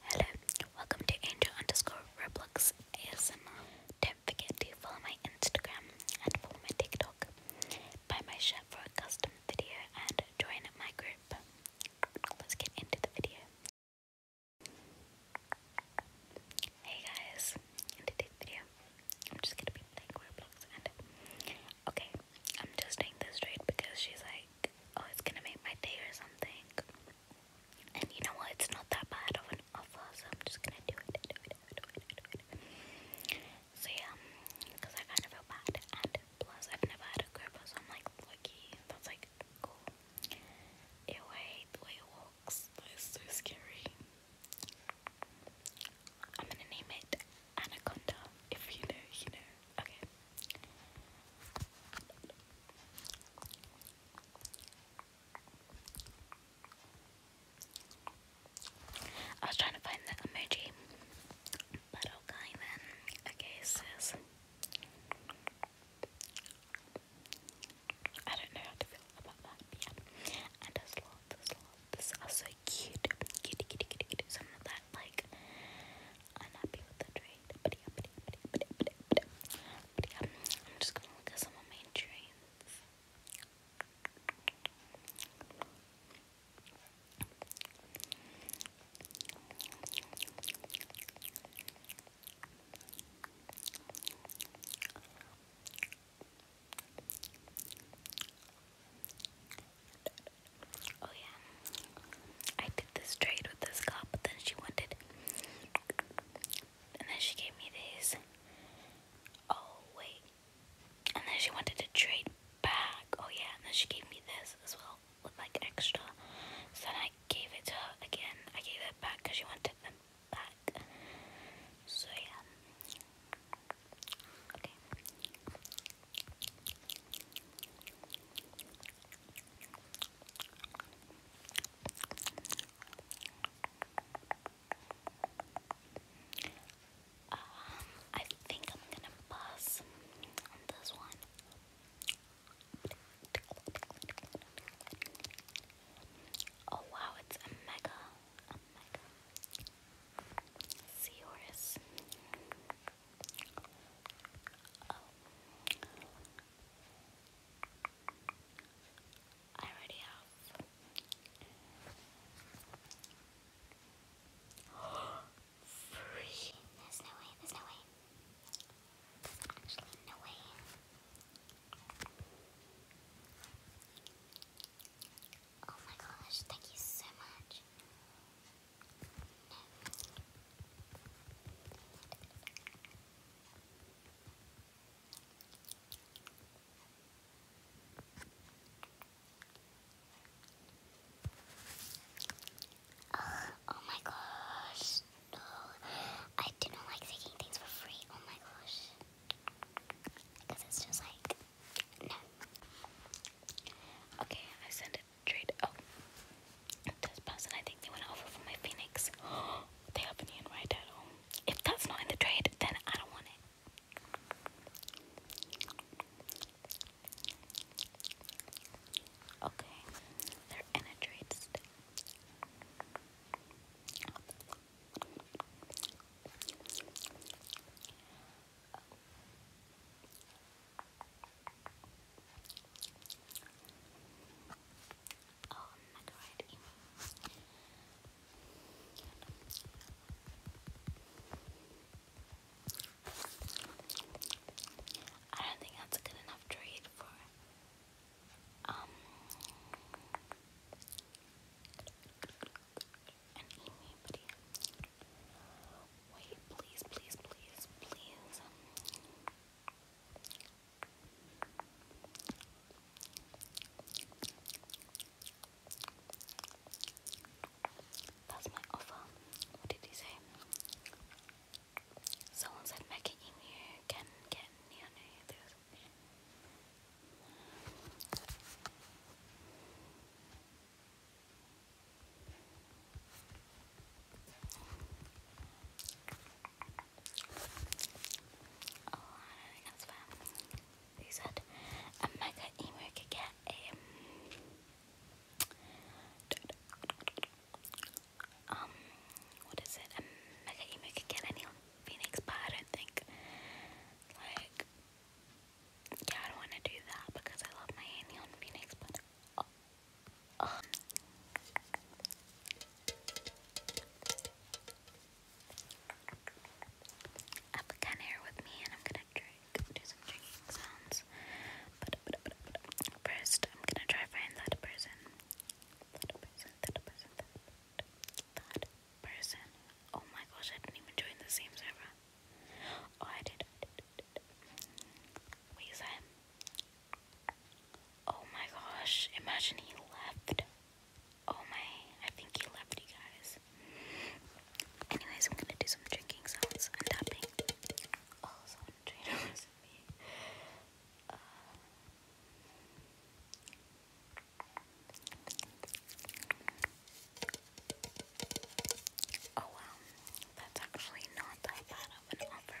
Hello, welcome to Angel underscore Roblox ASMR. Don't forget to follow my Instagram and follow my TikTok. Buy my shirt for a custom video and join my group. Let's get into the video. Hey guys, in today's video, I'm just gonna be playing Roblox okay, I'm just doing this straight because she's like, oh, it's gonna make my day or something. And you know what? It's not that bad of an offer, so I'm just gonna do it, So yeah, because I kind of feel bad, and plus I've never had a gripper, so I'm like lucky. That's like cool. Ew, I hate the way it walks. That is so scary. I'm gonna name it Anaconda. If you know, you know. Okay. I was trying to find that emoji, but okay then. Okay, sis. I don't know how to feel about that, yeah. And there's lots, there's lots. These are so cute. Cute, cute, cute, cute. Some of that, like, unhappy with the trade. But yeah, but yeah, but yeah, but yeah, but yeah, but yeah. But yeah, I'm just gonna look at some of my trades. Oh yeah, I did this trade with this cop, but then she wanted, and then she gave me these. Oh wait, and then she wanted to trade back. Oh yeah, and then she gave me this as well with like extra. So then I gave it to her again. I gave it back because she wanted them back. So yeah. Okay. Um, I think I'm gonna pass on this one. Oh wow, it's a mega, a mega seahorse. Oh. I already have. Free. There's no way. There's no way. actually no way. Oh my gosh, thank you so much. Uh, oh my gosh. No. I do not like taking things for free. Oh my gosh. Because it's just like, no. Okay, I sent it straight. Oh. This person, I think they want to offer for my Phoenix. they have an Ian If that's not in the trade, then I don't want it. Okay, they're in Oh, not I don't think that's a good enough trade for um, Wait, please, please, please, please. That's my offer. What did he say? Someone said Mecca Emu can get near Oh, He said, a mega emu could get um, um, what is it? A mega emu could get any Phoenix, but I don't think. Like, yeah, I don't want to do that because I love my Neon Phoenix, but. Oh, Oh. Up a can here with me, and I'm gonna drink, do some drinking sounds. first, I'm gonna try find that person. That person, that person, that person. Oh my gosh, I didn't even join the same server. Oh, I did. I did, I did, I did. Wait, Oh my gosh, imagine he left. Oh my, I think he left you guys. Anyways, I'm gonna do some drinking sounds and tapping. Also, oh, Trader recipe. Uh. Oh wow, that's actually not that bad of an offer.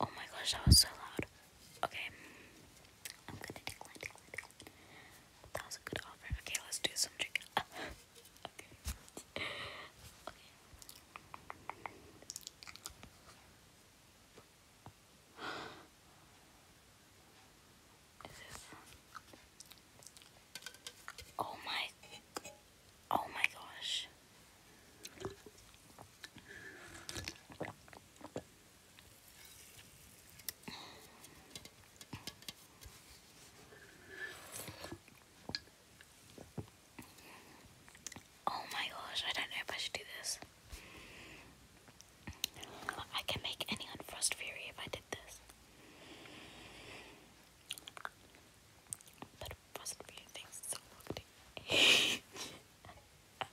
Oh my gosh, that was so loud. Okay. I'm gonna decline, a good offer. Okay, let's do some chicken. Oh my Oh my gosh. Oh my gosh, I don't know if I should do this. I can make anyone Frost Fury if I did this. But Frost Fury things so bad.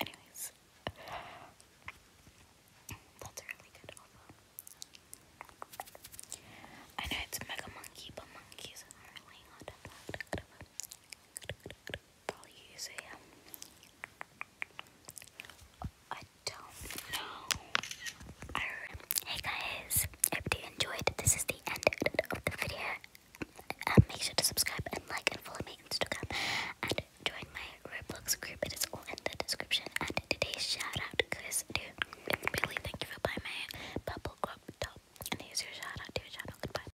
Anyways, that's really good I know it's Mega Monkey, but monkeys are really hot. I don't know. hey guys, I you enjoyed. This is the end of the video. Um, make sure to subscribe and like and follow me on Instagram and join my Roblox group. It is all in the description. And today's shout goes to Billy. Thank you for buying my purple crop And here's your shout to your channel. Goodbye.